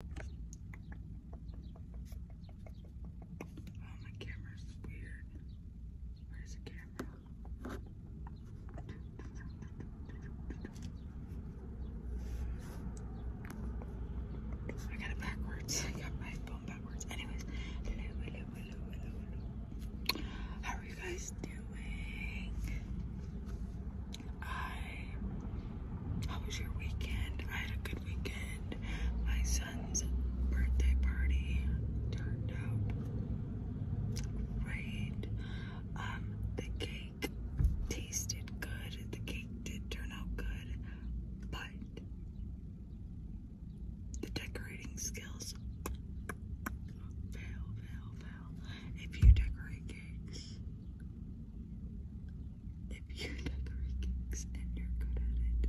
Oh, my camera's weird. Where's the camera? I got it backwards. I got my phone backwards. Anyways, How are you guys doing? I how was your weekend? I had a good weekend. My son's birthday party turned out great. Um, the cake tasted good. The cake did turn out good, but the decorating skills fail, fail, fail. If you decorate cakes, if you know three gigs you're good at it,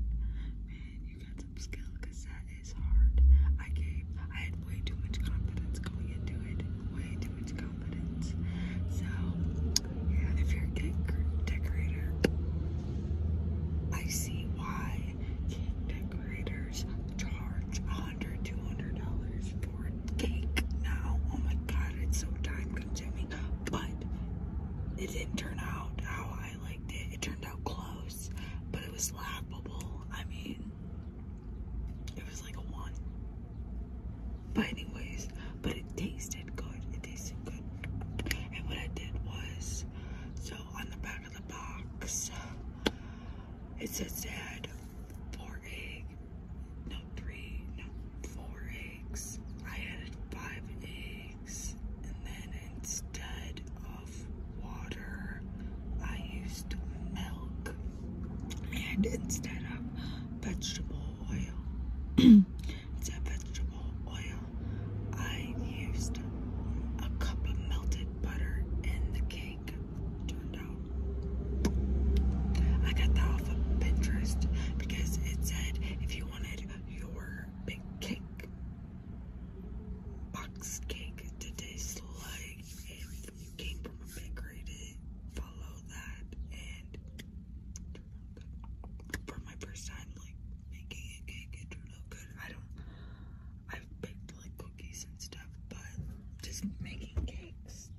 man, you got some skill that is hard. I gave, I had way too much confidence going into it, way too much confidence. So, yeah, if you're a gig decorator, I see why gig decorators charge $100, dollars for cake now. Oh my god, it's so time consuming. But it didn't turn out how I liked it. It turned out close, but it was laughable. I mean, it was like a one. But anyways, but it tasted good. It tasted good. And what I did was, so on the back of the box, it says to four egg, no three, no four eggs. I added five eggs, and then instead of water, I used milk, and instead of vegetable oil, instead of vegetable oil, I used a cup of melted butter in the cake. I got that off Pinterest because it said if you wanted your big cake, box cake to taste like if you came from a follow that and for my first time like making a cake it turned out good. I don't I've baked like cookies and stuff, but just making cakes,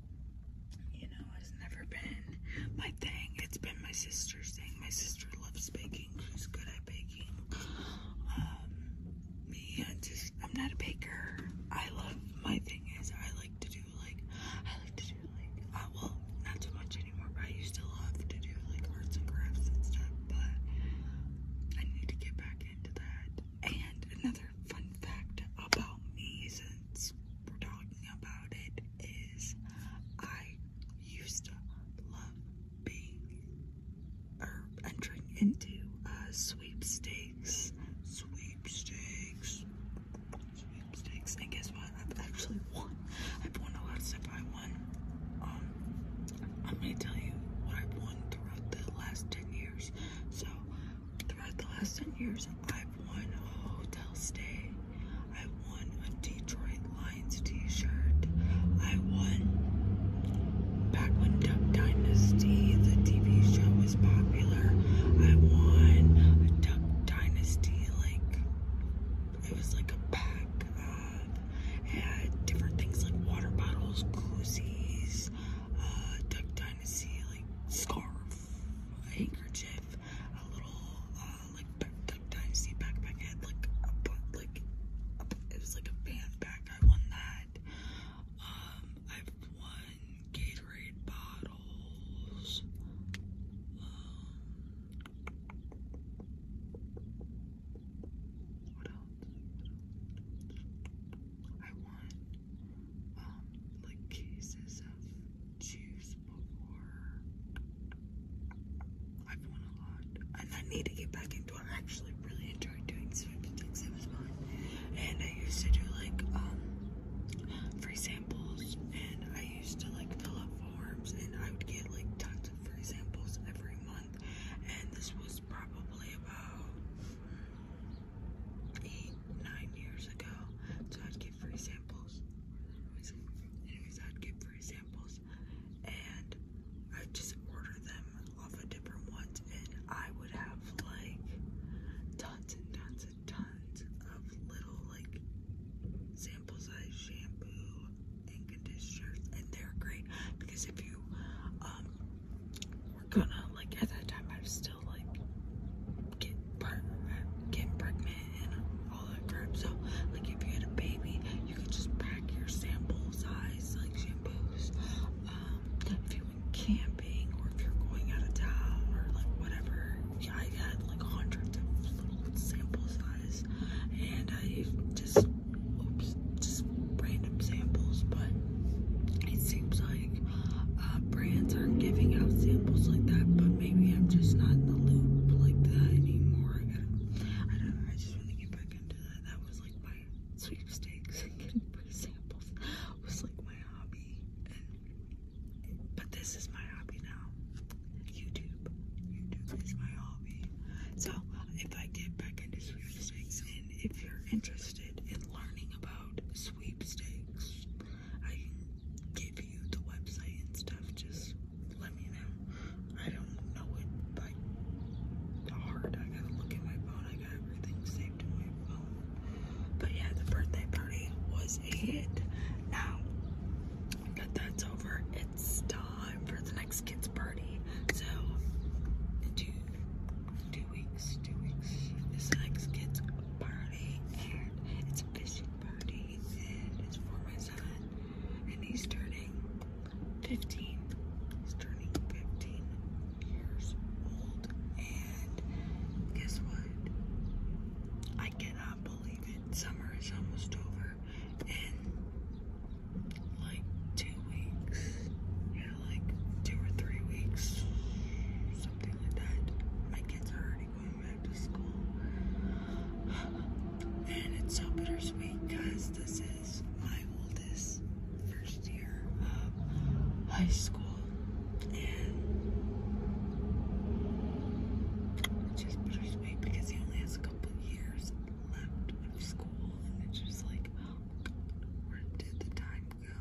you know, has never been my thing. It's been my sister's thing. My sister loves baking. She's good at baking. Um, me, I just, I'm not a baker. I love, my thing is I like to do like, I like to do like, uh, well, not too much anymore, but I used to love to do like arts and crafts and stuff, but I need to get back into that. And another fun fact about me since we're talking about it is I used to love being or entering into uh, sweepstakes, sweepstakes, sweepstakes, and guess what? I've actually won. I've won a lot of stuff. I won. Um, I'm gonna tell you what I've won throughout the last ten years. So throughout the last 10 years, I've won a hotel stay. I have won a Detroit Lions t-shirt. I won back when Duck Dynasty, the TV show, was popular. I won a Duck Dynasty, like, it was like a pack of, had different things like water bottles, koozies, this uh, Duck Dynasty like scarf, a handkerchief, a little uh, like back, Duck Dynasty backpack. I like a like it was like a fan pack. I won that. Um, I've won Gatorade bottles. Um, what else? I want um like cases of juice before. I've won a lot, and I need to get back into. it. I actually really enjoyed doing things It was fun, and I used to do like um free samples, and I used to like fill up forms, and I would get like tons of free samples every month month, and this was probably about eight, nine years ago. So I'd get free samples. Anyways, I'd get free samples, and I'd just order them off of different ones, and I would have like tons and tons and tons of little like samples of shampoo and conditioners, and they're great because if you um, gonna like at that time, I was still like get pregnant, getting pregnant, and all that crap. So like if you had a baby, you could just pack your sample size like shampoos. Um, if you went camping or if you're going out of town or like whatever, yeah, I had like hundreds of little sample size, and I just oops, just random samples, but it seems like uh, brands aren't giving out samples like that, but maybe I'm just not in the loop like that anymore. I, don't I just want to get back into that. That was like my sweepstakes getting free samples was like my hobby. but this is my hobby now. YouTube. YouTube is my hobby. So if I get back into sweepstakes and if you're interested in learning about sweepstakes, I can give you the website and stuff. Just let me know. I don't know it by heart. I gotta look at my phone. I got everything saved to my phone. But yeah, the birthday party was a hit. Now, that that's over, it's time for the next kid's party. So, in two, two weeks, two weeks the next kid's party, and it's a fishing party, it's for my son, and he's turning 15. He's turning 15 years old, and guess what? I cannot believe it. Summer is almost over in like two weeks. Yeah, like two or three weeks. Something like that. My kids are already going back to school. And it's so bittersweet because this is my oldest first year of high school. And it's just bittersweet because he only has last couple years left of school, and it's just like, oh, where did the time go?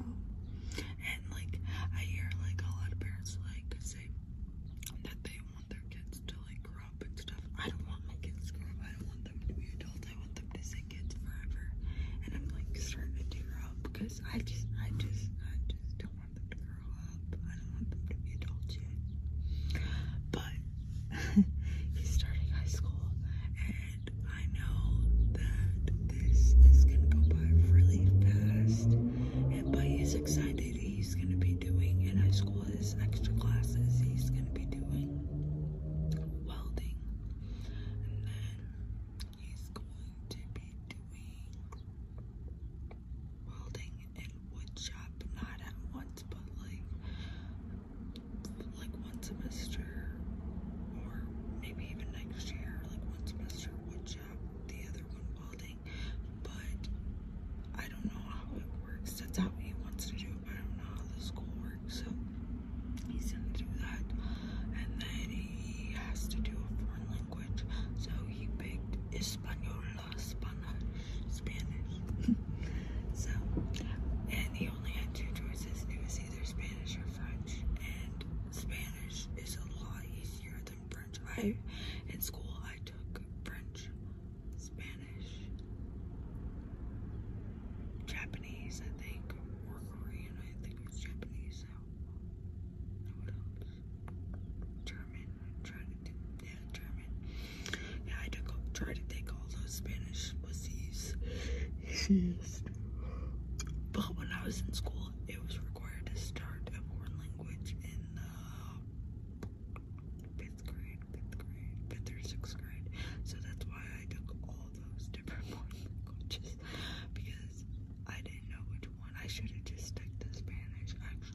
And like, I hear like a lot of parents like say that they want their kids to like grow up and stuff. I don't want my kids to grow up. I don't want them to be adults. I want them to stay kids forever. And I'm like starting to tear up because I just, I just, I just don't want grow up. I don't want them to be adults yet. But he's starting high school, and I know that this is gonna go by really fast. And but he's excited. He's gonna be doing in high school his extra classes. He's gonna be doing welding, and then he's going to be doing welding and woodshop, not at once, but like like one semester or maybe even next year, like one semester woodshop, the other one welding. But I don't know how it works. That's how he wants to do it, but I don't know how the school works. So he's gonna do that. And then he has to do a foreign language. So he picked Espanol los Spanish, Spanish. so, and he only had two choices. It was either Spanish or French, and Spanish is a lot easier than French. I, in school, I took French, Spanish, Japanese, I think, or Korean. I think it was Japanese. So, what else? German. I yeah, German. Yeah, I took tried to take all those Spanish pussies. but when I was in school, it was required to start a foreign language in the uh, fifth grade, fifth grade, fifth or sixth grade. So that's why I took all those different foreign languages because I didn't know which one. I should have just stuck to Spanish actually.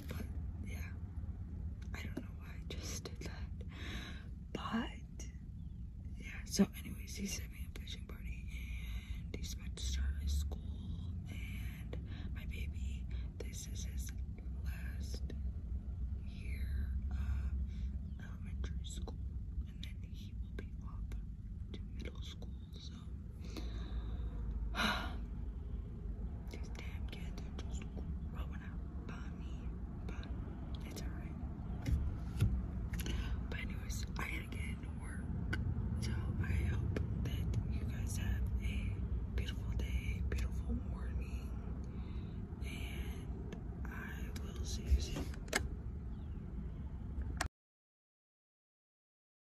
But yeah, I don't know why I just did that. But yeah, so anyways, he's having a fishing party and he's about to start his school. And my baby, this is his last year of elementary school, and then he will be off to middle school. So these damn kids are just growing up by me, but it's alright. But anyways, I gotta get into work. So I hope that you guys have a beautiful day, beautiful morning, and I will see you soon.